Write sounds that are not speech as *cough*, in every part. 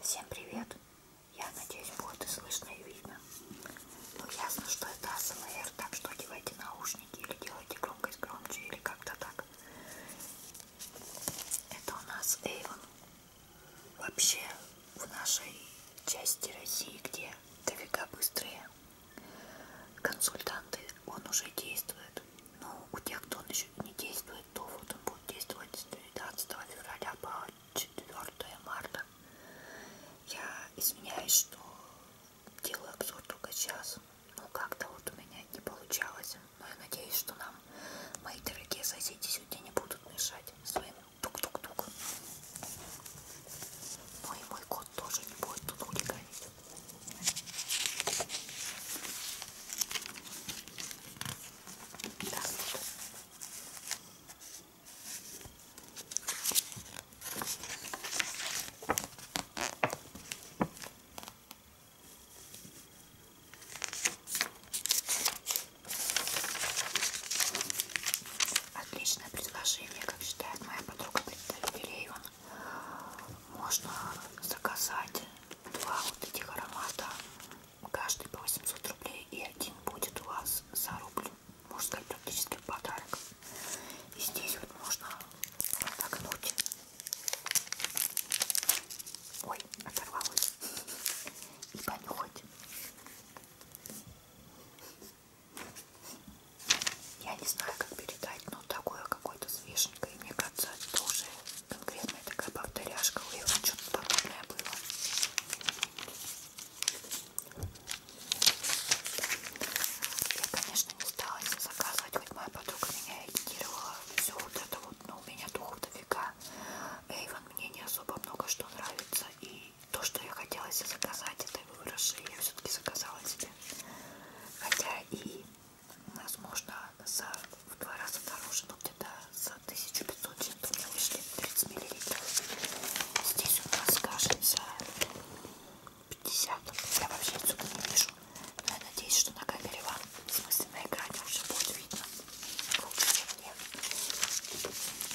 Всем привет! Я надеюсь, будет и слышно, и видно. Ну, ясно, что это АСМР, так что одевайте наушники или делайте громкость громче, или как-то так. Это у нас Эйвен. Вообще, в нашей части России, где дофига быстрые консультанты, он уже действует. Но ну, у тех, кто он еще не действует, то вот он будет действовать с 12 февраля по 4 марта. Я извиняюсь, что делаю обзор только сейчас. Ну, как-то вот у меня не получалось. Но я надеюсь, что нам мои дорогие соседи сегодня не будут мешать своим тук-тук-тук. Ну и мой кот тоже не будет тут хулиганить. Так. Отличное предложение, как считает моя подруга Бельеева. Можно заказать два вот этих аромата каждый по 800 рублей и один будет у вас за рубль, можно сказать, практически в подарок. И здесь вот можно отогнуть. Ой, оторвалась. И понюхать. Я не знаю, как передать, но такое какое-то свеженькое, мне кажется, это уже конкретная такая повторяшка у его что-то подобное было я конечно не стала ее заказывать хоть моя подруга меня агитировала все вот это вот но ну, у меня духов дофига Эйвен мне не особо много что нравится и то что я хотела себе заказать это выброши я все-таки заказала себе хотя и возможно за в два раза дороже, но где-то за 1500 чем-то у меня вышли 30 мл. Здесь у нас, кажется, 50. Я вообще отсюда не вижу. Но я надеюсь, что на камере вам, в смысле на экране, уже будет видно лучше, чем мне.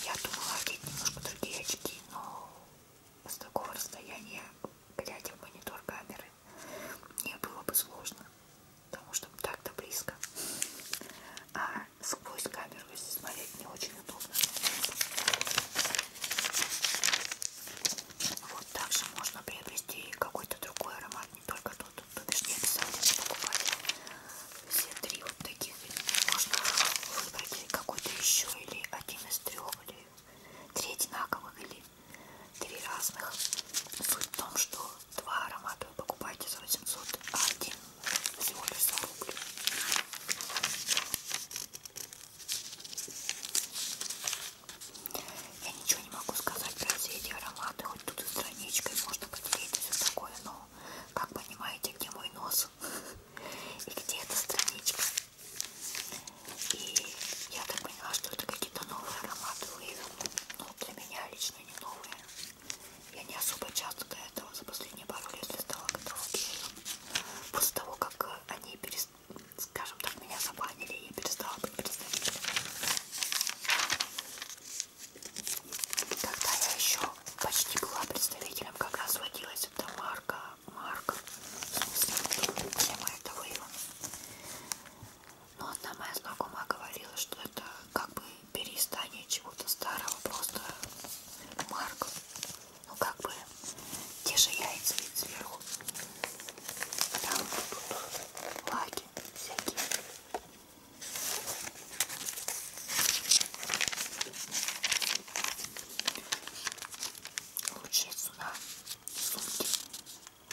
Я думала одеть немножко другие очки, но с такого расстояния глядя в монитор камеры мне было бы сложно потому что так-то близко. А сквозь камеру, если смотреть, не очень удобно. Вот также можно приобрести какой-то другой аромат, не только тот, то бишь не обязательно покупать. Все три вот таких можно выбрать какой-то еще или один из трех, или три одинаковых, или три разных. Суть в том, что Два аромата вы покупаете за 800, а один всего лишь за рубль. Я ничего не могу сказать про все эти ароматы, хоть тут и страничкой можно поделить и все такое, но как понимаете, где мой нос *laughs* и где эта страничка. И я так поняла, что это какие-то новые ароматы выявил, но ну, для меня лично не новые. Я не особо часто до этого за последние пару лет листала каталоги. После того, как э, они, перест... скажем так, меня забанили, я перестала быть представителем. Когда я еще почти была представителем, как раз водилась эта марка, марка, в смысле, тема этого его. Но одна моя знакомая говорила, что это как бы переиздание чего-то старого, просто марка. Ну как бы те же яйца ведь сверху. Там будут лаки всякие. Лучше сюда сумки.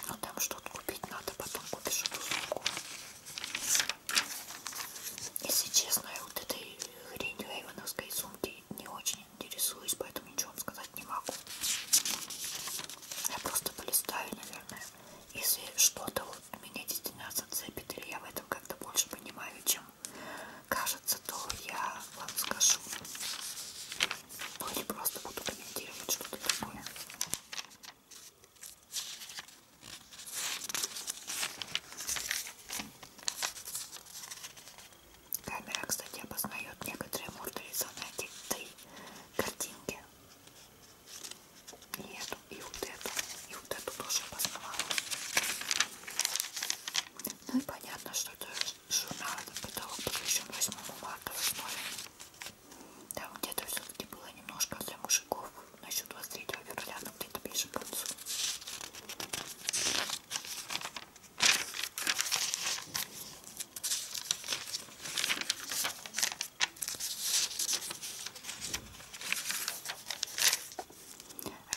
Но ну, там что-то купить надо, потом купишь эту сумку. Если честно, я вот этой хренью айвановской сумки не очень интересуюсь, поэтому ничего вам сказать не могу. Я просто полистаю, наверное, если что-то вот меня действительно зацепит, или я в этом как-то больше понимаю, чем кажется, то я вам скажу. Ну или просто буду комментировать что-то такое. Камера, кстати, опознает некоторые мультуризованные текты, картинки. И эту, и вот эту, и вот эту тоже опознавала. Ну и понятно, что это журнал, этот потолок посвящен 8 марта в Там где-то все-таки было немножко для мужиков насчет 23 февраля, но где-то ближе к концу.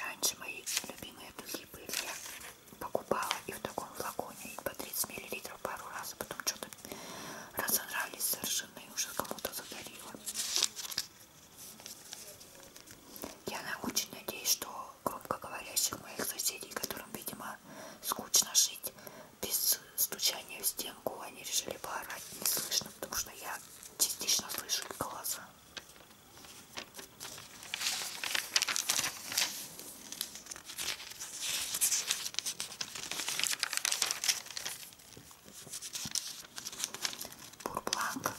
Раньше мои любимые духи были я покупала и в таком флаконе и по 30 мл пару раз, а потом что-то разонравились совершенно выложенный, уже кому-то задарила. Я очень надеюсь, что громкоговорящих моих соседей, которым, видимо, скучно жить без стучания в стенку, они решили поорать не слышно, потому что я частично слышу их голоса. Бурбланк.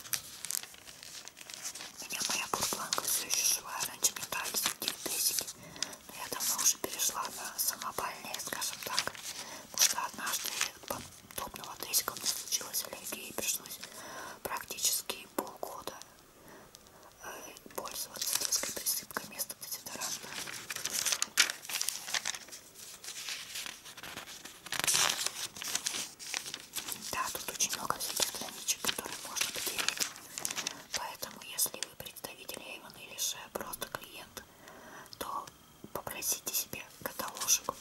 У меня моя бурбланка все еще живая. Раньше мне нравились такие тысики. Но я давно уже перешла на самопальные, скажем так. Потому что однажды подобного тысика у меня случилась аллергия и пришлось практически полгода э, пользоваться детской присыпкой вместо дезодоранта. Да, тут очень много всяких страничек, которые можно потерять. Поэтому, если вы представитель Эйвен или же просто клиент, то попросите себе каталожек.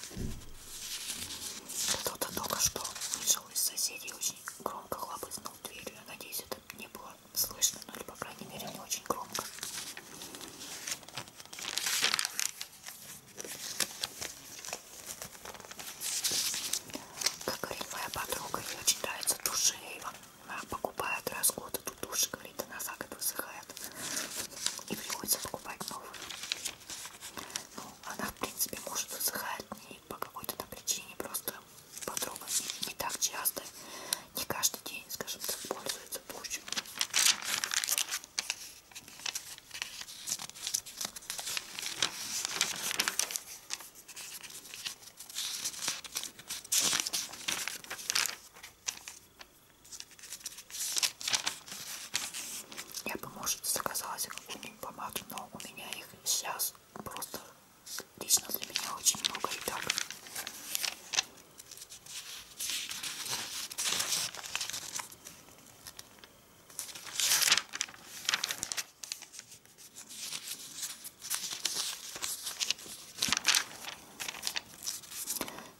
Кто-то только что вышел из соседей очень громко хлопызнул дверью. Я надеюсь, это не было слышно, но, ну, по крайней мере, не очень громко. Как говорит моя подруга, ее очень нравится Тушеева. Она покупает раз в год эту тушь, говорит, она за год высыхает. И приходится покупать новую. Ну, она, в принципе, может высыхать не по какой-то там причине, просто подруга не, не так часто не каждый день, скажем так, пользуется площадью. Я бы, может, заказала какую-нибудь помаду, но у меня их сейчас просто лично для меня очень много и так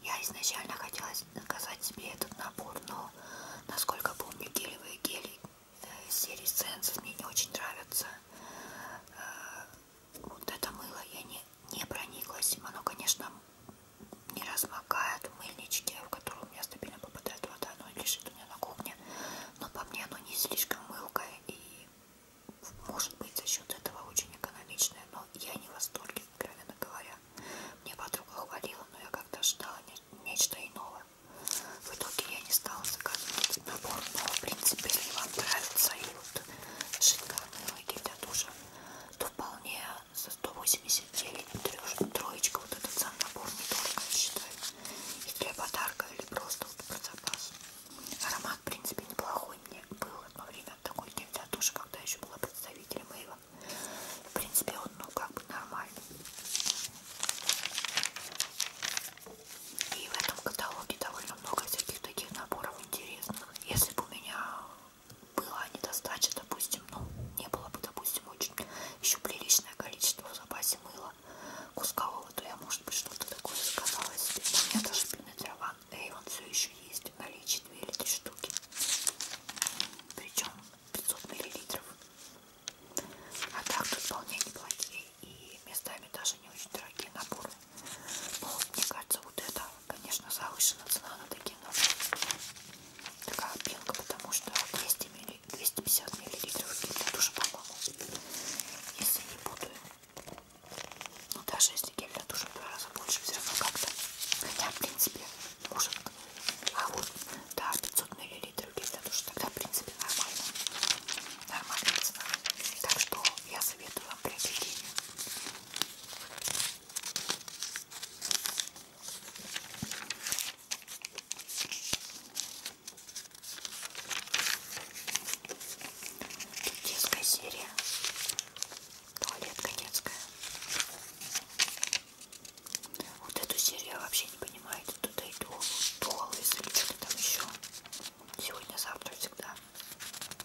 я изначально хотела заказать себе этот набор, но, насколько помню, гелевые гели э, из серии Sense мне не очень нравятся. Э, вот это мыло я не не прониклась. Оно, конечно, не размокает в мыльничке, в которую у меня стабильно попадает вода, оно лежит у меня на кухне. Но по мне оно не слишком мылкое и может быть за счет этого очень экономичное, но я не в восторге, откровенно говоря. Мне подруга хвалила, но я как-то ждала не нечто иного. В итоге я не стала заказывать этот набор, но в принципе, если вам нравится и вот шикарный гель для душа, то вполне за 189 троечка вот этот сам набор не только я считаю и для подарка или просто вот про запас аромат в принципе неплохой мне был одно время такой тоже когда еще была представителем Эйва в принципе он ну как бы нормальный и в этом каталоге довольно много всяких таких наборов интересных если бы у меня было недостача, допустим, ну, не было бы, допустим, очень еще приличное количество в запасе мыла кускового, то я, может быть, что-то такое заказала себе. Но у меня даже пинетер Ван Эйвен все еще есть в наличии 2 или 3 штуки. Причем 500 миллилитров. А так тут вполне неплохие и местами даже не очень дорогие наборы. Но ну, мне кажется, вот это Конечно, завышена цена на такие ножи. Такая пинка, потому что 200 милли, 250 миллилитров гель тоже, по-моему, если не путаю. Ну, даже если гель для душа в два раза больше, все равно как-то. Хотя, в принципе, может. А вот, да, 500 миллилитров гель для душа, тогда, в принципе, нормально. Нормальная цена. Так что я советую вам приобретение. Тут детская серия. Туалетка детская. Вот эту серию я вообще не понимаю. Это туда и туалет, или что-то там еще. Сегодня, завтра, всегда.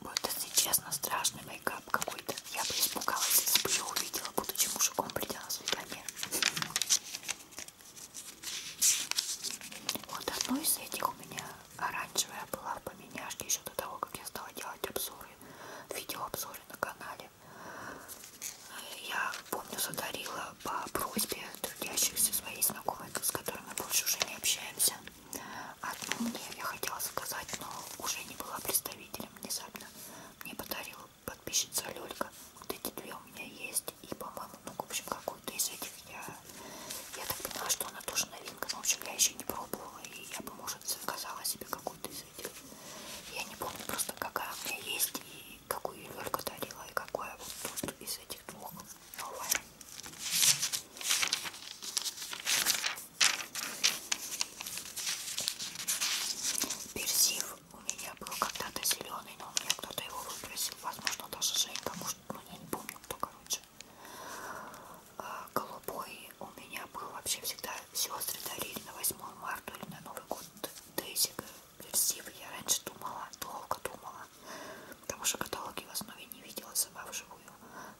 Вот если честно, страшный мейкап какой-то. Я бы испугалась, если бы ее увидела, будучи мужиком, придя на свидание. Вот одно из этих у меня оранжевая была в поменяшке еще до того, как я стала делать обзоры, видеообзоры на канале. Я помню, задарила по просьбе трудящихся своей знакомой, с которой мы больше уже не общаемся. Одну мне я хотела заказать, но уже не была представителем внезапно. Мне подарила подписчица Лёлька. Вот эти две у меня есть. И, по-моему, ну, в общем, какую-то из этих я... Я так поняла, что она тоже новинка. Но, ну, в общем, я еще не пробовала. И я бы, может, заказала себе какую-то из этих. Я не помню просто, какая у меня есть. И какую Лёлька дарила. И какая вот тут из этих этих двух новая. Персив у меня был когда-то зеленый, но у меня кто-то его выбросил. Возможно, даже Женька, может, ну, я не помню, кто, короче. А голубой у меня был вообще всегда сестры дарили на 8 марта или на Новый год. Дейзик, персив. Я раньше думала, долго думала Потому что каталоги в основе не видела сама вживую,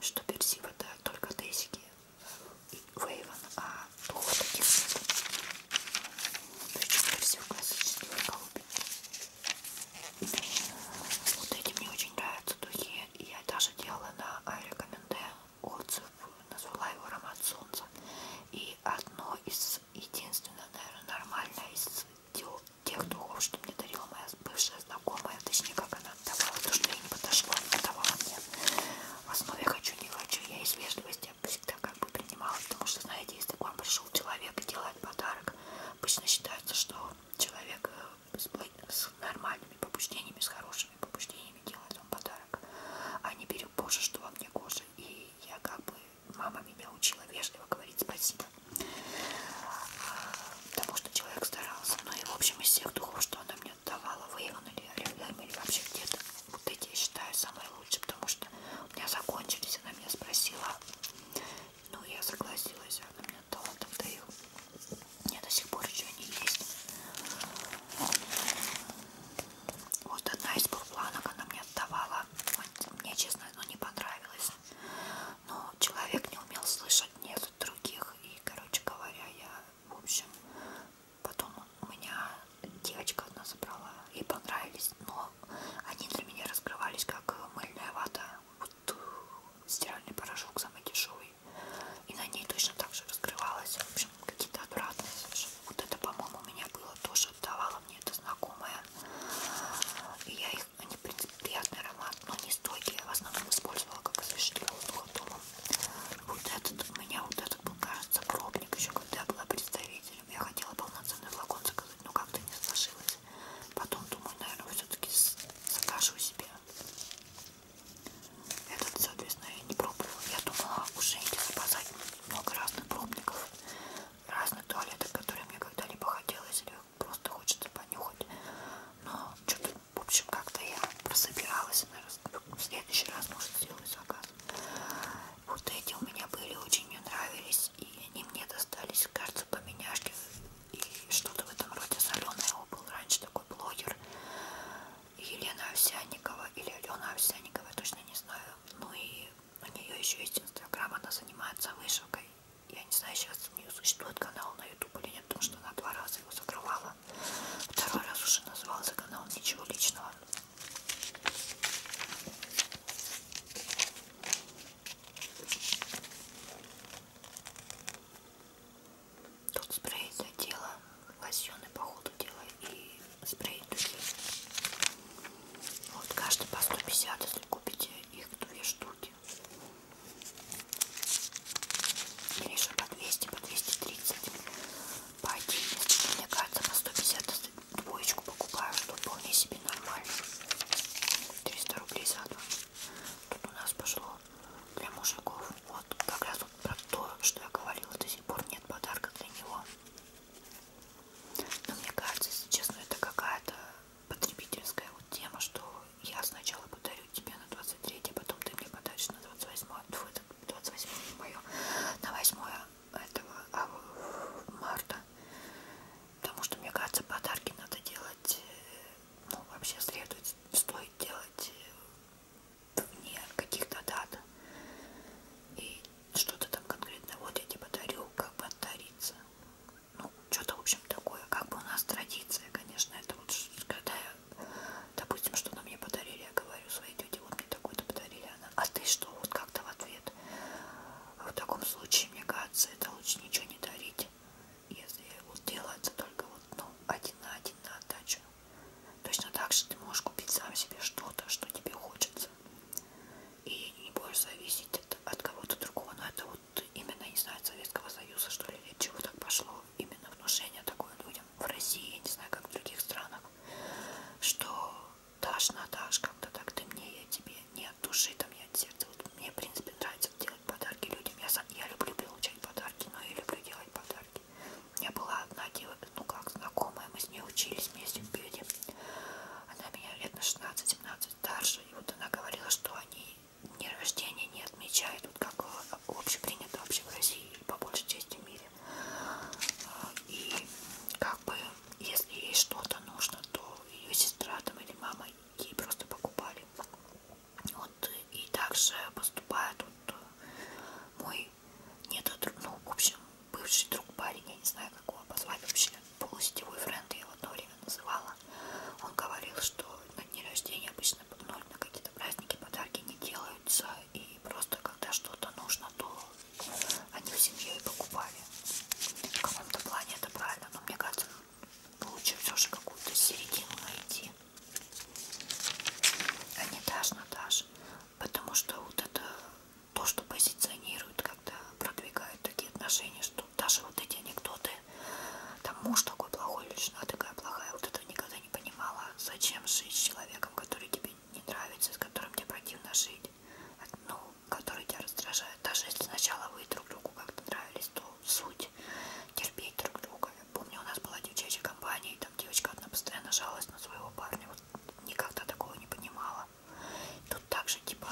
что персива это только десики и Вейвен, а двух таких нет. Причем персив классический голубик. Вот эти мне очень нравятся духи. Я даже делала на Айрекоменде отзыв, назвала его аромат солнца. И одно из единственное, наверное, нормальное из тех духов, что мне дарила моя бывшая знакомая, точнее, как она отдавала, то, что я не подошла, она отдавала мне. В основе хочу, не хочу, я из вежливости всегда как бы принимала, потому что, знаете, если к вам пришел человек и делает подарок, обычно считается, что человек э, с нормальными побуждениями, с хорошими побуждениями делает вам подарок, а не берет позже, что вам не кожа. И я как бы, мама меня учила вежливо говорить спасибо просто. Потому что человек старался. Ну и в общем из всех духов, что она мне давала, вы или рядом, или вообще где-то. Вот эти я считаю самые лучшие, потому что у меня закончились, она меня спросила. Ну я согласилась, она мне дала тогда их. Мне до сих пор еще не есть. Вот одна из бурпланок она мне отдавала. Мне, честно, ну не понравилось но человек не умел слышать нет других. И, короче говоря, я, в общем, потом у меня девочка одна забрала, ей понравились, но они для меня раскрывались как мыльная вата, вот э, стиральный порошок самый дешевый. И на ней точно так же раскрывалась, в общем, какие-то обратные совершенно. Вот это, по-моему, у меня было тоже, отдавала мне это знакомая. И я их они, в принципе, приятный аромат, но не стойкий. Я в основном использовала как освежитель воздуха дома. Вот этот у меня, вот этот был, кажется, пробник еще, когда я была представителем. Я хотела полноценный флакон заказать, но как-то не сложилось. Потом думаю, наверное, все-таки закажу себе. Этот, соответственно, я не пробовала. Я думала уже идти заказать много разных пробников, разных туалетов, которые мне когда-либо хотелось, или просто хочется понюхать. Но что-то, в общем, как-то я прособиралась. Наверное, в следующий раз, может, сделаю заказ. Вот эти у меня были, очень мне нравились. И они мне достались, кажется, поменяшки. И что-то в этом роде соленое. Его был раньше такой блогер. Елена Овсянникова или Алена Овсянникова, я точно не знаю. Ну и у нее еще есть инстаграм, она занимается вышивкой я не знаю, сейчас у нее существует канал на YouTube или нет, потому что она два раза его закрывала. Второй раз уже назывался канал «Ничего личного». Тут спрей для тела, лосьоны по ходу дела и спрей духи. Вот каждый по 150, если купите их две штуки. Гриша по 200, по 230, по 11, мне кажется, по 150 двоечку покупаю, что вполне себе нормально. 300 рублей за два. Тут у нас пошло для мужиков. Вот как раз вот про то, что я говорила, до сих пор нет подарка для него. Но мне кажется, если честно, это какая-то потребительская вот тема, что я сначала подарю тебе на 23, а потом ты мне подаришь на 28, фу, это 28 мое, на 8 этого а, марта. Потому что, мне кажется, подарки надо делать, э, ну, вообще следует, стоит делать э, вне каких-то дат. И что-то там конкретно, вот я тебе подарю, как бы отдариться ну, что-то, в общем, такое, как бы у нас традиция, конечно, это вот, когда я, допустим, что-то мне подарили, я говорю своей тете, вот мне такое-то подарили, она, а ты что, вот как-то в ответ, в таком случае, мне кажется, это лучше ничего не дарить, если вот делается только вот, ну, один на один на отдачу. Точно так же ты можешь купить сам себе что-то, что тебе хочется, и не будешь зависеть от, от кого-то другого, но это вот именно, не знаю, от Советского Союза, что ли, от чего так пошло, именно внушение такое людям в России, я не знаю, как в других странах, что дашь на дашь как-то так, ты мне, я тебе, не от души, там, не от сердца, вот мне, в принципе, нравится делать подарки людям, я, сам, я люблю получать подарки, но и люблю делать подарки. У меня была одна девочка, ну как, знакомая, мы с ней учились вместе в Беде, она меня лет на 16-17 старше, и вот она говорила, что они дни рождения не отмечают, вот как э, общепринято вообще в России и по большей части в мире. А, и как бы, если ей что-то нужно, то ее сестра там или мама ей просто покупали. Вот, и также поступает вот э, мой нет, э, ну, в общем, бывший друг парень, я не знаю, как его позвать вообще, полусетевой френд я его одно время называла дома. Он говорил, что на дни рождения обычно под ноль на какие-то праздники подарки не делаются, и просто когда что-то нужно, то они в семье и покупали. В каком-то плане это правильно, но мне кажется, лучше все же какую-то середину найти. А не дашь, Наташ. Потому что вот это то, что позиционирует, когда продвигают такие отношения, что тут даже вот эти анекдоты, там муж такой плохой или жена такая плохая, вот это никогда не понимала, зачем жить с человеком, который тебе не нравится, с которым тебе противно жить, ну, который тебя раздражает, даже если сначала вы друг другу как-то нравились, то суть терпеть друг друга. Помню, у нас была девчачья компания, и там девочка одна постоянно жалась на своего парня, вот никогда такого не понимала. Тут также типа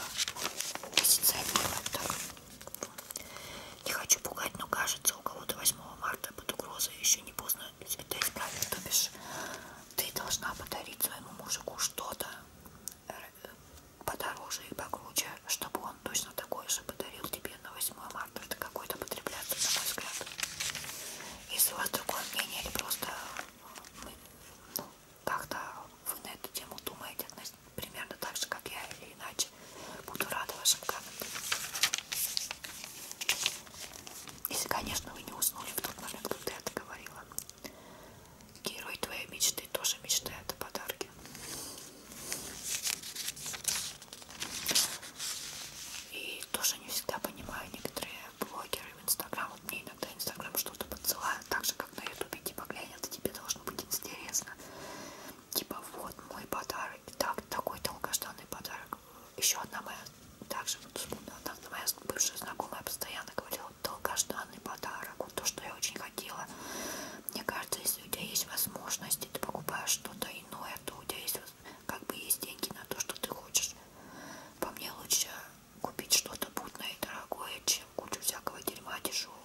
позиционирует так. Не хочу пугать, но кажется, у кого-то 8 марта под угрозой еще не поздно это исправить. То бишь, ты должна подарить своему мужику что-то э, подороже и покруче, чтобы он точно такое же подарил тебе на 8 марта. Это какой-то потребляться, на мой взгляд. Если у вас другое мнение или просто ну, как-то вы на эту тему думаете относительно примерно так же, как я или иначе. Буду рада вашим комментам. Если, конечно, вы не уснули в тот момент, когда я это говорила. Герой твоей мечты тоже мечтает о подарке. И тоже не всегда понимаю некоторые блогеры в Инстаграм. Вот мне иногда Инстаграм что-то подсылают, так же, как на Ютубе, типа глянь, это тебе должно быть интересно типа вот мой подарок, так, такой долгожданный подарок. Еще одна моя, также вот вспомнила, одна моя бывшая знакомая постоянно говорила, долгожданный подарок, вот то, что я очень хотела. Мне кажется, если у тебя есть возможность, ты покупаешь что-то иное, то у тебя есть как бы есть деньги на то, что ты хочешь. По мне лучше купить что-то путное и дорогое, чем кучу всякого дерьма дешевого.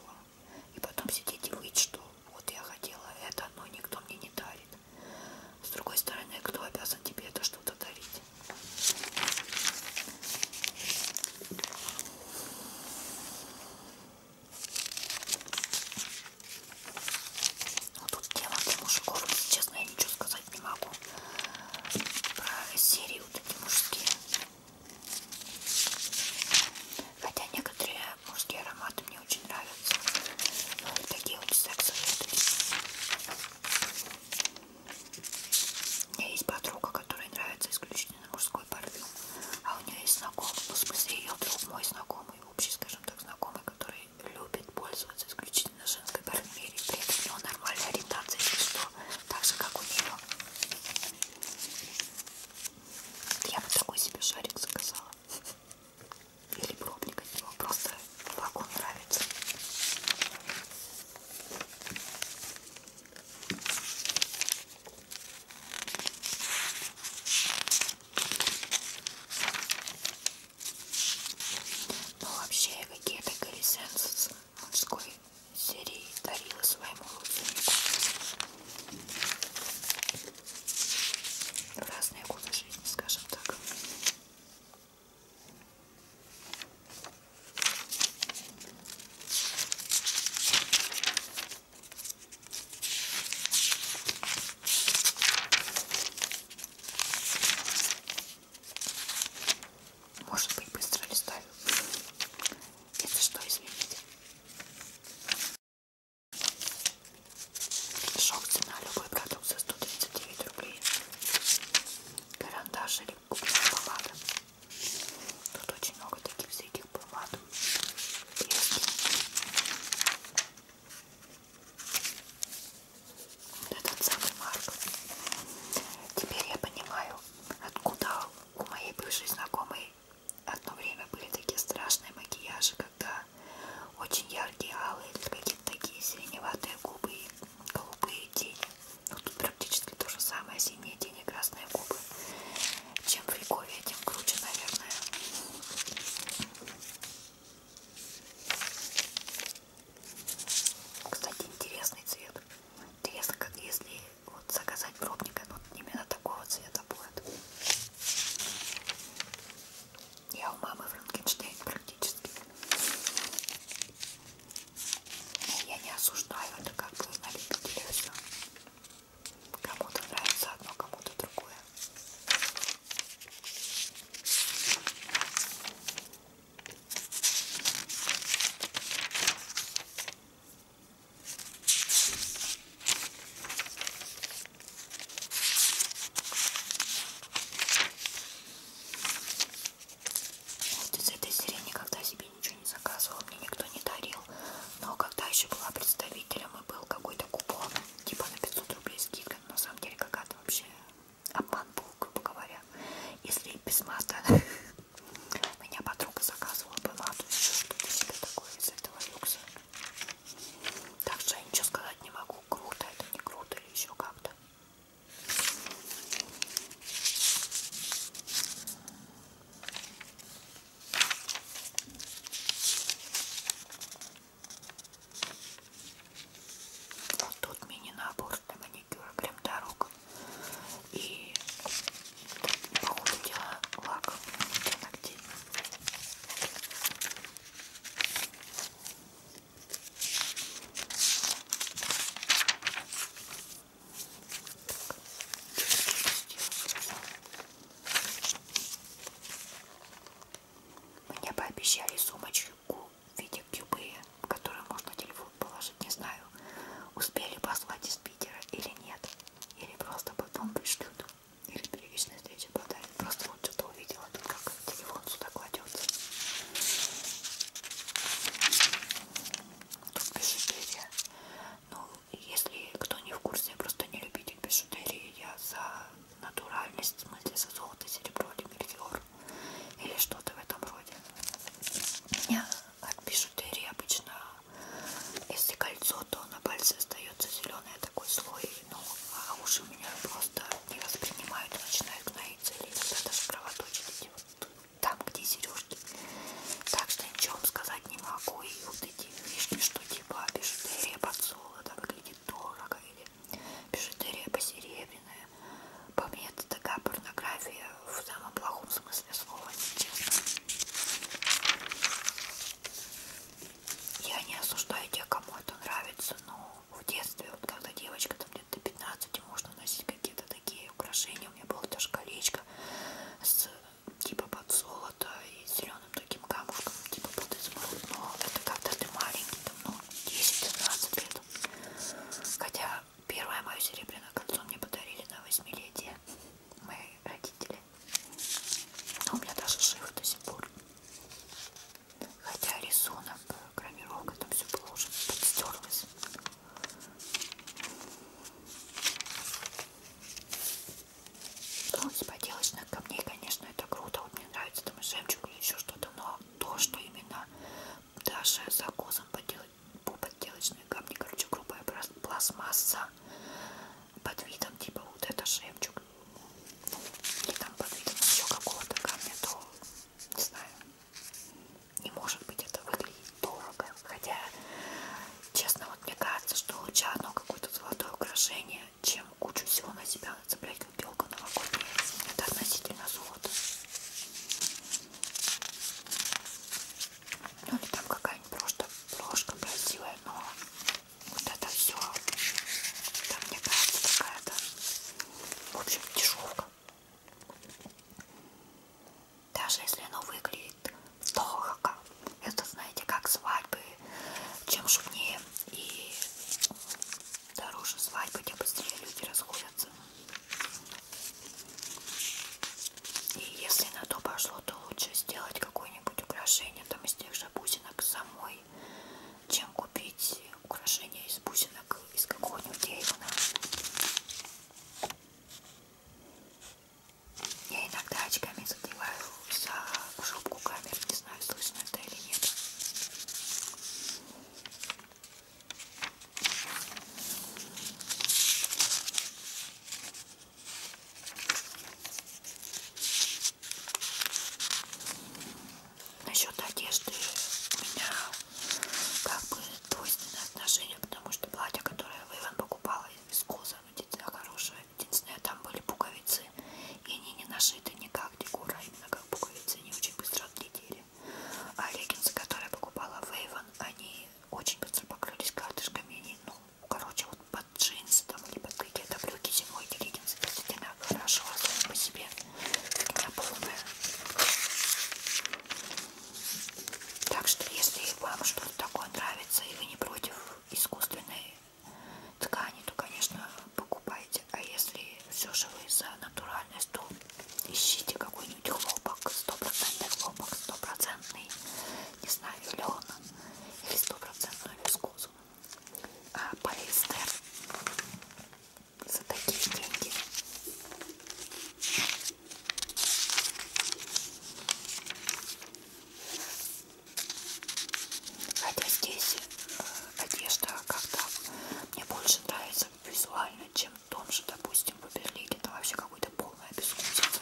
И потом сидеть и выть, что вот я хотела это, но никто мне не дарит. С другой стороны, кто обязан тебе это что-то дарить? Ну, тут тема для мужиков, если честно, я ничего сказать не могу про серии вот эти мужские. Хотя некоторые мужские ароматы мне очень нравятся. Ну, вот такие вот секс-советы. У меня есть подруга, которой нравится исключительно мужской парфюм. А у нее есть знакомый, ну, в смысле ее друг, мой знакомый, общий, скажем так, знакомый, который любит пользоваться исключительно женской парфюмерией. При этом у него нормальная ориентация, если что, так же, как у нее. Я вот такой себе шарик заказала. Или пробник от него. Просто вагон нравится. Ну вообще какие-то колесенцы мужской серии дарила своему родственнику разные годы жизни, скажем так. Может быть, быстро листаю. Если что, извините. Шок цена, любой продукт за 139 рублей. Карандаш или губная помада. Тут очень много таких всяких помад. Пески. Этот самый Марк. Теперь я понимаю, откуда у моей бывшей знакомой Одно время были такие страшные макияжи, когда очень яркие алые, какие-то такие сиреневатые губы и голубые тени. Ну, тут практически то же самое, синие тени, красные губы. Чем в Рейкове, тем круче, наверное. Кстати, интересный цвет. Интересно, как если вот заказать пробника, но вот именно такого цвета будет. Я у мамы Франкенштейн практически. И я не осуждаю, это как бы на любителя все. Кому-то нравится одно, кому-то другое. Вот из этой серии никогда себе ничего не заказывала, мне никто не дарил. Но когда еще была представителем и был какой-то купон, типа на 500 рублей скидка, на самом деле какая-то вообще обман был, грубо говоря. Если без мата, *laughs* меня подруга заказывала бы мату, еще что-то себе такое из этого люкса. Так что я ничего сказать не могу, круто это, не круто или еще как-то. Вот тут мини-набор для маникюра крем-дорог и, по ходу дела, лак для ногтей. Мне пообещали сумочку в виде кюбы, в которую можно телефон положить, не знаю, успели послать из Питера или нет, или просто потом пришлют. Первичная встреча подарит. Просто вот что-то увидела, тут как телефон сюда кладется. Тут бижутерия. Ну, если кто не в курсе, я просто не любитель бижутерии. Я за натуральность, в смысле за золото, серебро или мельфиор. Или что-то в этом роде. Меня от бижутерии обычно если кольцо, то на пальце остается зеленый такой слой, ну, а уши у меня просто не воспринимают и начинают гноиться или иногда даже кровоточить эти вот там, где сережки. Так что ничего вам сказать не могу. И вот эти фишки, что типа бижутерия подсола, да, выглядит дорого, или бижутерия посеребряная. По мне это такая порнография в самом плохом смысле слова, если честно я не осуждаю тех, кому это нравится, но в детстве, вот когда девочка там где-то 15, можно носить какие-то такие украшения. У меня было даже колечко с типа под золото и зеленым таким камушком, типа под изумруд. Но это когда ты маленький, там, ну, 10-15 лет. Хотя первое мое серебряное кольцо мне подарили на восьмилетие мои родители. Но а у меня даже жив до сих пор. Хотя рисунок, э, гравировка, там все было уже подстерлось. Ну, с поделочных камней, конечно, это круто. Вот мне нравится там жемчуг или еще что-то, но то, что именно даже закосом по подделочные камни, короче, грубая пластмасса под видом типа вот это жемчуг ну, или там под видом еще какого-то камня, то не знаю, не может быть это выглядит дорого. Хотя, честно, вот мне кажется, что лучше одно какое-то золотое украшение, чем кучу всего на себя нацеплять, как белка новогодняя. Это относительно золота. Ну или там какая-нибудь просто брошка красивая, но вот это все. Там мне кажется какая-то. В общем, дешевка. Даже если оно выглядит дорого. Это, знаете, как свадьбы. Чем шумнее и дороже свадьбы, тем быстрее люди расходятся. И если на то пошло, то лучше сделать какое-нибудь украшение, там из тех также бусинок самой, чем купить украшения из бусинок из какого-нибудь Эйвена. Я иногда очками задеваю за шубку камер, не знаю, слышно это или нет. Насчет одежды у меня как бы двойственное отношение, потому что платье, которое Вейвен покупала из коза, единственное хорошее, единственное, там были пуговицы, и они не нашиты никак декора, а именно как пуговицы, они очень быстро отлетели. А леггинсы, которые покупала Вейвен, они очень быстро покрылись карточками, они, ну, короче, вот под джинсы там, или под какие-то брюки зимой эти леггинсы действительно хорошо, особенно а по себе. У меня полная. Так что, если вам что-то такое нравится, и вы не против искусственной ткани, то, конечно, покупайте. А если все же вы за натуральность, то ищите какой-нибудь хлопок, стопроцентный хлопок, стопроцентный, не знаю, лен или стопроцентную вискозу вкусу а, полиэстер за такие деньги. Хотя здесь э, одежда как-то мне больше нравится визуально, чем в том же, допустим, в Берлине. Это вообще какой-то полная безвкусица.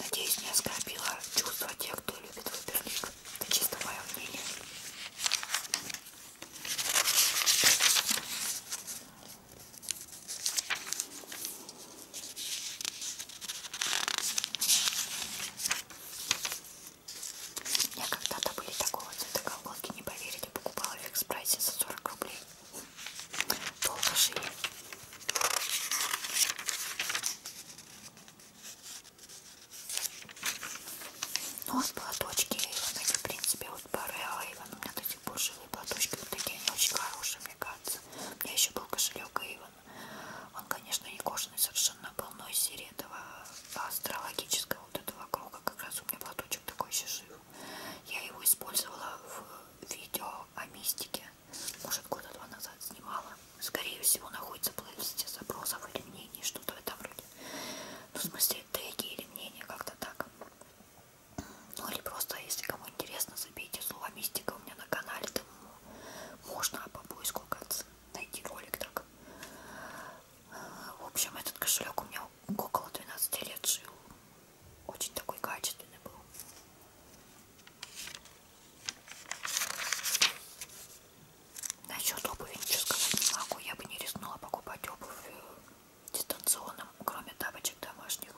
Надеюсь, не оскорбила чувства тех, кто любит выберлик. Это чисто мое мнение. У меня когда-то были такого цвета колготки, не поверите, покупала в экспрессе за 40 рублей. Долго жили. Ну, вот платочки Эйвен, они, в принципе, вот пары Эйвен. У меня до сих пор живые платочки, вот такие они очень хорошие, мне кажется. У меня еще был кошелек Эйвен. Он, конечно, не кожаный совершенно был, но из серии этого астрологического вот этого круга как раз у меня платочек такой еще жив. Я его использовала в видео о мистике может года два назад снимала. Скорее всего, находится в плейлисте запросов или мнений, что-то в этом роде. Ну, в смысле, теги или мнения, как-то так. Ну, или просто, если кому интересно, забейте слово «Мистика» у меня на канале, там можно по поиску конца найти ролик так. В общем, этот кошелек у меня около 12 лет жил. Очень такой качественный был. Насчет обуви ничего сказать не могу. Я бы не рискнула покупать обувь э, дистанционным, кроме тапочек домашних.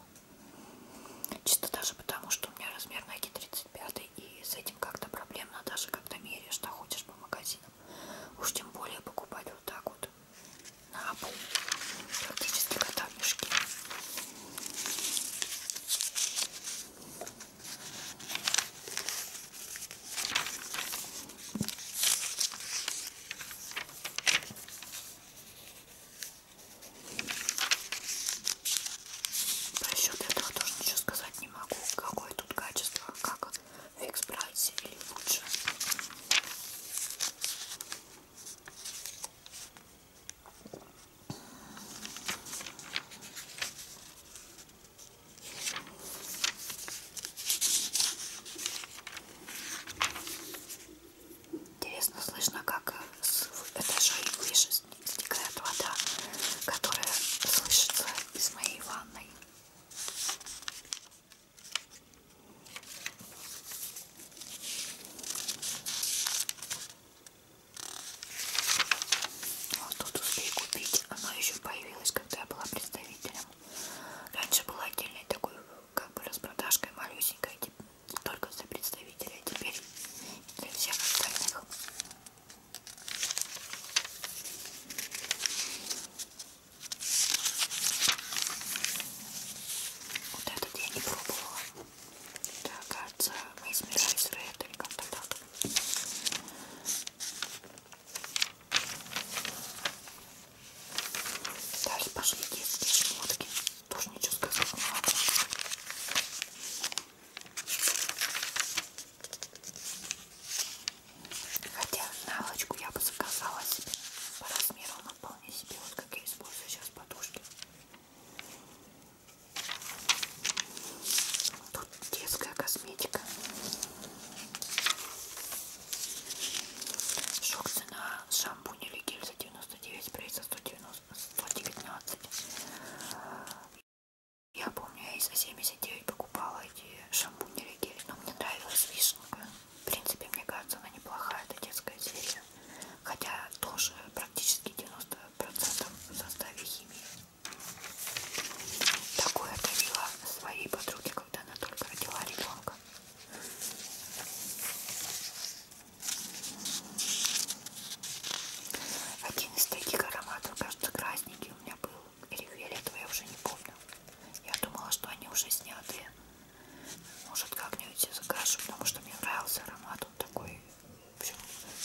Чисто даже потому, что у меня размер ноги 35 и с этим как-то проблемно, даже когда меряешь, что ходишь по магазинам. Уж тем более покупать вот так вот на пол, практически кота в мешке. По счету этого тоже ничего сказать не могу. Какое тут качество, как в экспрессе или лучше. Интересно слышно, как с этажей выше стекает вода, которая слышится из моей ванной. Вот тут успей купить. Оно еще появилось, когда я была представителем. Раньше была отдельной такой, как бы распродажкой малюсенькой, только за представителей, а теперь для всех остальных. Вот этот я не пробовала. Так, кажется, мы измеряем с рейдой как-то так. Дальше пошли детские шмотки. Тоже ничего сказать не могу. Хотя наволочку я бы заказала себе по размеру, она вполне себе, вот как я использую сейчас подушки. Тут детская косметика. Шок цена шампунь или гель за 99, прайс за 190, 119. Я помню, я и за 79 покупала эти шампуни или гель, но мне нравилась вишенка. В принципе, мне кажется, она неплохая, эта детская серия хотя тоже практически 90% в составе химии. Такое дарила своей подруге, когда она только родила ребенка. Один из таких ароматов, кажется, красненький у меня был, или фиолетовый, я уже не помню. Я думала, что они уже сняты. Может, как-нибудь закажу, потому что мне нравился аромат, он такой все,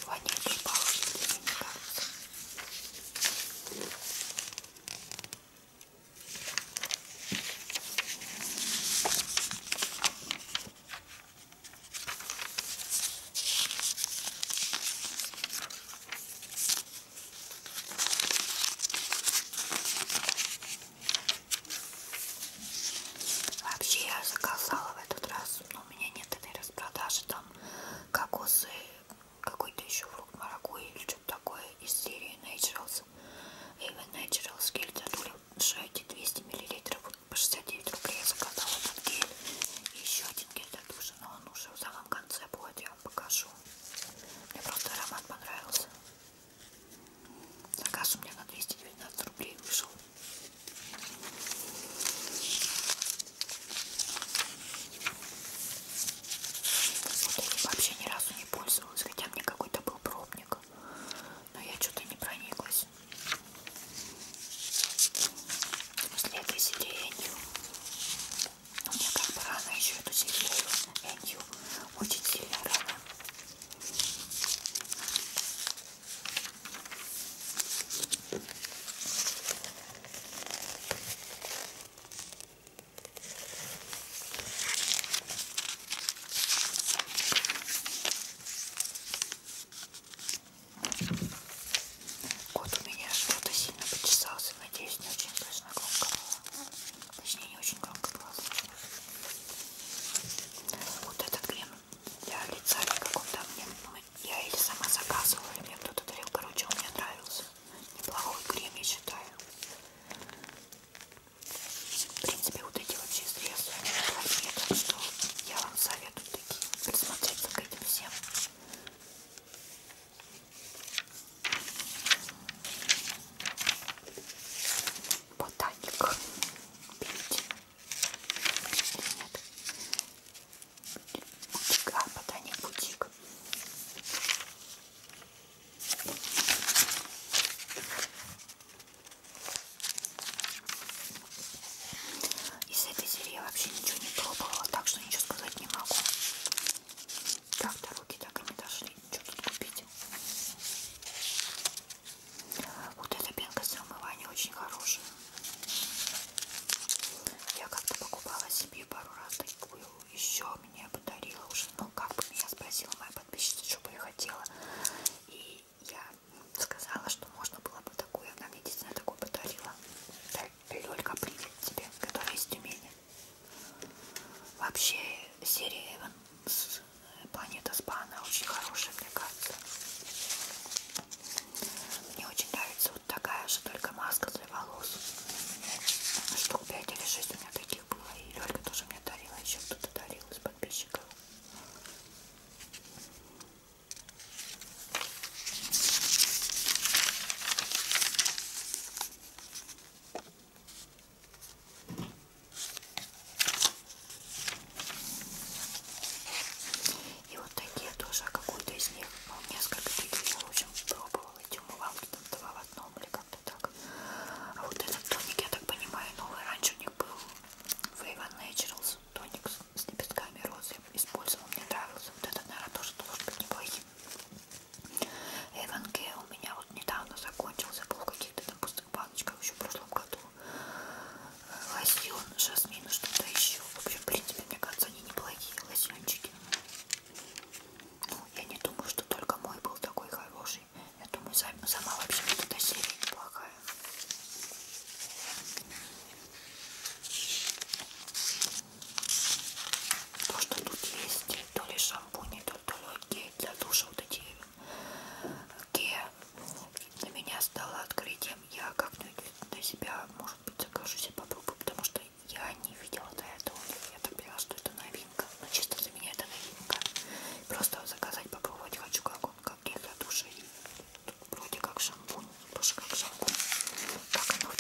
воняет палочки, мне кажется. Вообще я заказала в этот раз но у меня нет этой распродажи, там кокосы, какой-то еще фрукт маракуйя или что-то такое из серии Naturals, Even Naturals гель Дадуля, эти 200 мл по 69 рублей я заказала этот гель, и еще один гель Дадуша, но он уже в самом конце будет, я вам покажу. Мне просто аромат понравился. Заказ у меня на 219 рублей вышел. Вот вообще ни разу не пользовалась, хотя мне какой-то был пробник, но я что-то не прониклась. С этой сиренью. Но ну, мне как бы рано еще эту сиренью, энью, очень сильно рано. Кот у меня что-то сильно почесался, надеюсь, не очень слышно громко было. Точнее, не очень громко было. Вот этот крем для лица никакого там нет, мы я или сама заказывала, или мне кто-то дарил. Короче, он мне нравился. Неплохой крем, я считаю. В принципе, вот эти вообще средства неплохие, так что я вам советую такие присмотреться к этим всем. Ботаник. Берите. Бутик, а, ботаник бутик. Из этой серии я вообще ничего не пробовала, так что ничего сказать не могу. Так, до руки так и не дошли. Что тут купить? Вот эта пенка для умывания очень хорошая. Я как-то покупала себе пару раз такую. Еще мне подарила уже, ну как бы меня спросила моя подписчица, что бы я хотела. И я сказала, что можно было бы такую. Она мне действительно такую подарила. Лёлька, привет тебе, которая из Тюмени. Вообще серия Эван с планета Спана очень хорошая, мне кажется. Мне очень нравится вот такая же, только маска для волос. Штук 5 или 6 у меня таких было. И Лёлька тоже мне дарила, еще кто-то дарил из подписчиков. И вот такие тоже, какую-то из них, ну, несколько таких я очень пробовала, эти умывалки там два в одном или как-то так. А вот этот тоник, я так понимаю, новый, раньше у них был Avon Naturals тоник с лепестками розы, использовал, мне нравился. Вот этот, наверное, тоже должен быть неплохим. Avon Care у меня вот недавно закончился, был в каких-то там пустых баночках еще в прошлом году лосьон жасмин что-то еще в общем в принципе мне кажется они неплохие лосьончики ну я не думаю что только мой был такой хороший я думаю сама вообще вот эта серия неплохая то что тут есть то ли шампунь то ли гель для душа вот эти э, гель для меня стало открытием. Я как-нибудь для себя, может быть, закажу себе попробую, потому что я не видела до этого. Я так поняла, что это новинка. Но ну, чисто для меня это новинка. Просто заказать, попробовать хочу, как он, как гель для душа. И вроде как шампунь, тоже как шампунь. Как оно в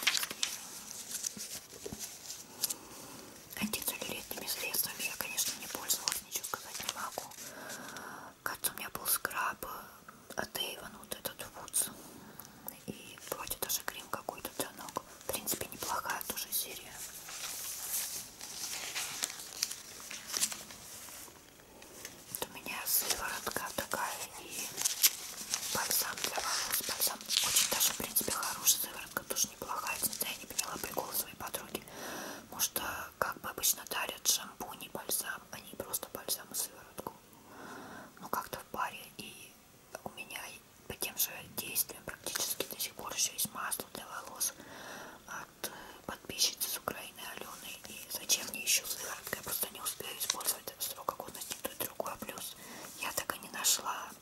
Антицеллюлитными средствами я, конечно, не пользовалась, ничего сказать не могу. Кажется, у меня был скраб э, от Avon, вот этот Woods. И вроде даже крем какой-то для ног. В принципе, неплохая тоже серия. Вот у меня сыворотка такая и бальзам для волос. Бальзам очень даже, в принципе, хорошая сыворотка, тоже неплохая. Я не поняла прикол своей подруги. Потому что, э, как бы обычно дарят шампунь и бальзам, они а просто бальзам и сыворотку но ну, как-то в паре и у меня по тем же действиям практически до сих пор еще есть масло для волос от э, подписчицы с Украины Алены. И зачем мне еще сыворотка? Я просто не успею использовать срока годности то и другое. Плюс я так и не нашла э,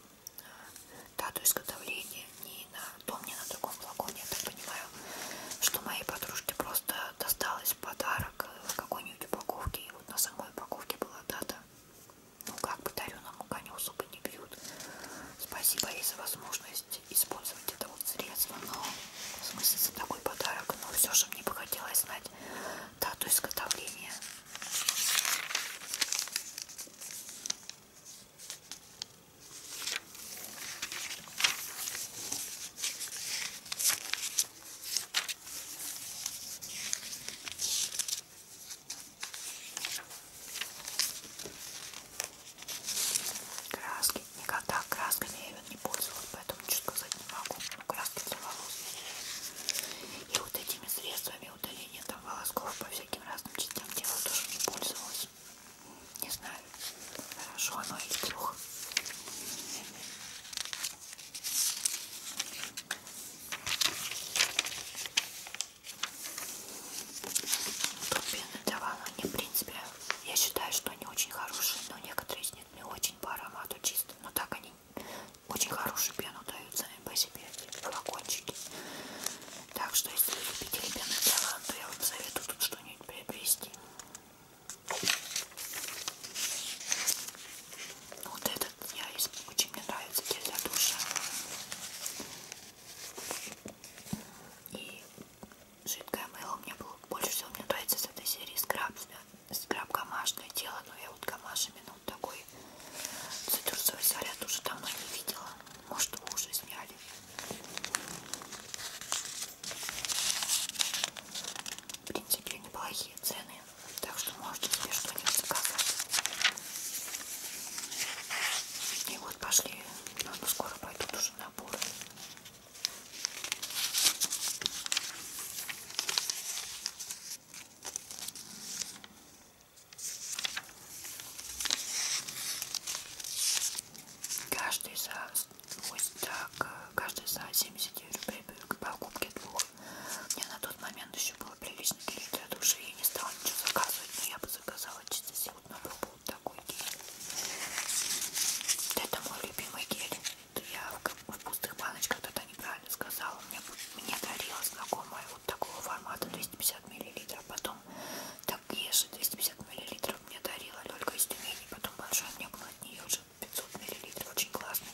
дату изготовления ни на том, ни на другом флаконе. Я так понимаю, что моей подружке просто досталось подарок в какой-нибудь упаковке. И вот на самой упаковке была дата. Ну как бы дарю нам коню, зубы не бьют. Спасибо ей за возможность использовать это вот средство. Но в смысле за такой подарок. Но все же мне бы хотелось знать дату изготовления. Краски. Никогда красками я не пользовалась, поэтому чуть сказать не могу. Но ну, краски для волос. И вот этими средствами удаления там волосков по всяким разным частям тела тоже не пользовалась. Не знаю, хорошо оно или плохо. Турбины Давана, они в принципе, я считаю, что они очень хорошие, но некоторые из них не очень по аромату чисто, но так они очень хорошую пену дают сами по себе, флакончики. Так что, если вы любители пены Даван, то я вам советую тут что-нибудь приобрести. Вот этот я очень мне нравится гель для душа. И жидкое мыло мне было больше всего мне нравится с этой серии скраб. Скраб гамашное тело, но я вот гамашами ну вот такой цитрусовый заряд уже давно не видела. Может, уже сняли. В принципе, неплохие цены, так что можете себе что-нибудь заказать. И вот пошли, наверное, ну, ну, скоро пойдут уже наборы. Каждый за Ось так. Каждый за 79 рублей к покупке двух. Мне на тот момент еще было прилично гель для души. Я не стала ничего заказывать, но я бы заказала чисто сегодня был такой гель. Это мой любимый гель. Я в пустых баночках тогда неправильно сказала. Мне, мне дарила знакомая вот такого формата 250 мл. Потом так ешь 250 мл мне дарила только из Тюмени. Потом большая мне была от нее же 500 мл, очень классный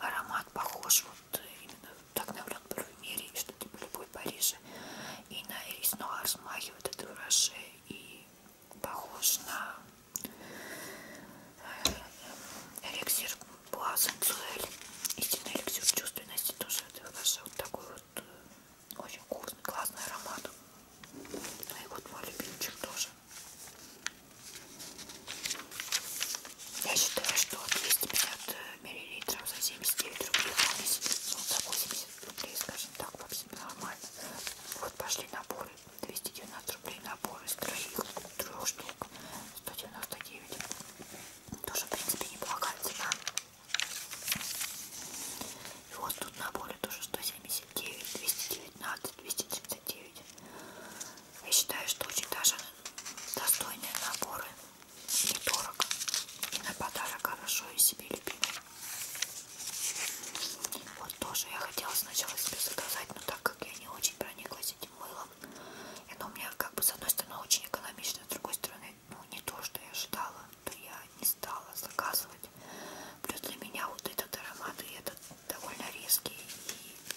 аромат, похож вот э, именно так на парфюмерии, что ты типа по любой Париже и на Эрис Нуар смахивает это ураже и похож на э, э, эликсир Буазенцуэль, истинный эликсир чувственности тоже это ураже, вот такой вот очень вкусный, классный аромат. Ну и вот мой любимчик тоже. Я считаю, что 250 э, миллилитров за 79 рублей, ну, за 80 рублей, скажем так, вообще нормально. Вот пошли наборы, 290 рублей наборы из троих, трех штук, 199. Тоже, в принципе, неплохая цена. И вот тут наборы тоже 179, 219, 239. Я считаю, что очень даже достойные наборы. Недорого. И на подарок хорошо и себе любимый. Вот тоже я хотела сначала себе заказать, но так как я не очень прониклась этим мылом, и оно у меня как бы с одной стороны очень экономично, с другой стороны, ну не то, что я ожидала, то я не стала заказывать. Плюс для меня вот этот аромат и этот довольно резкий.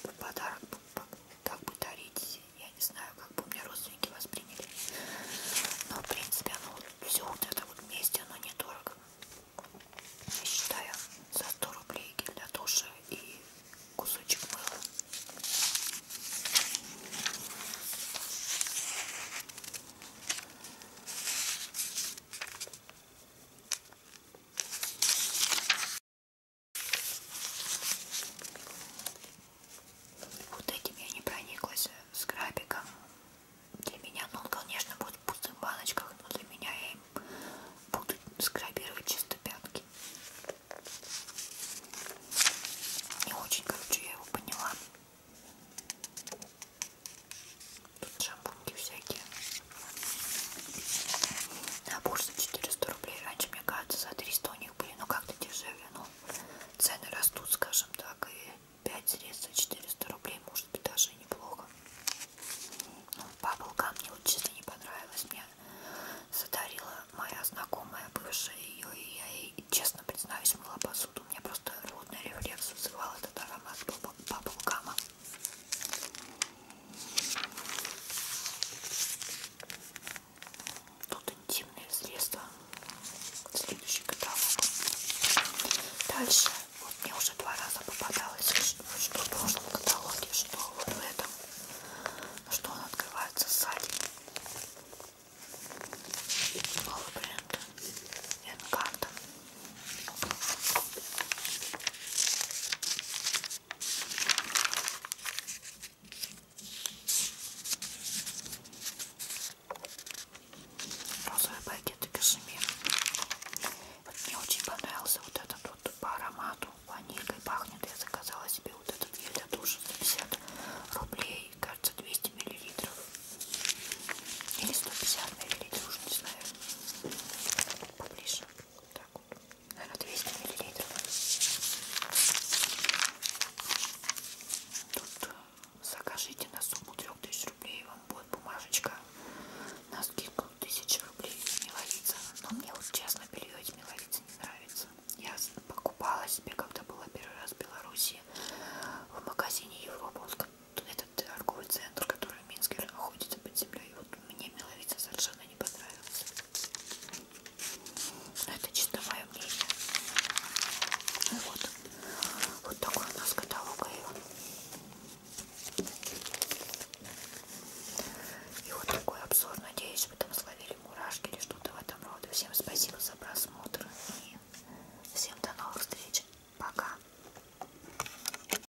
И подарок как бы дарить, я не знаю, как бы у меня родственники восприняли. Но в принципе оно все вот это вот вместе, оно недорого. Я считаю, за 100 рублей гель для душа и кусочек мыла. Вот этим я не прониклась с крабиком. Для меня, ну, он, конечно, будет в пустых баночках, но для меня я им буду скрабировать чисто пятки. Не очень, короче, я его поняла. Тут шампуньки всякие. Набор за 400 рублей. Раньше, мне кажется, за 300 у них были, но как-то дешевле. Но ну, цены растут, скажем так, и 5 средств за 400 рублей, может быть, даже и неплохо. Ну, Баблгам мне вот честно не понравилось. Мне задарила моя знакомая, бывшая ее, и я ей, честно признаюсь, мыла посуду. У меня просто рвотный рефлекс вызывал этот аромат баблгама. Тут интимные средства. Следующий каталог. Дальше. Вот мне уже два раза попадалось, что в прошлом каталоге, что вот в этом. Что он открывается сзади. Новый бренд. Энкарта. Розовый пакет и кашемир. Вот мне очень понравился вот этот вот по аромату. Ванилькой пахнет. Я заказала себе вот этот гель для душа за 50 рублей. Кажется, 200 миллилитров. Или 150 миллилитров, уже не знаю. Поближе так вот, наверное, 200 миллилитров. Тут э, закажите на сумму 3000 рублей, вам будет бумажечка на скидку 1000 рублей с меловица. Но мне вот честно белье из меловицы не нравится. Я покупала себе, когда была первый раз в Беларуси, в магазине Европа. Он сказал, это этот торговый центр, который в Минске находится под землей. Вот мне Миловица совершенно не понравился. Но это чисто мое мнение. Ну вот, вот такой у нас каталог И вот такой обзор. Надеюсь, вы там словили мурашки или что-то в этом роде. Всем спасибо за просмотр. И всем до новых встреч. Пока.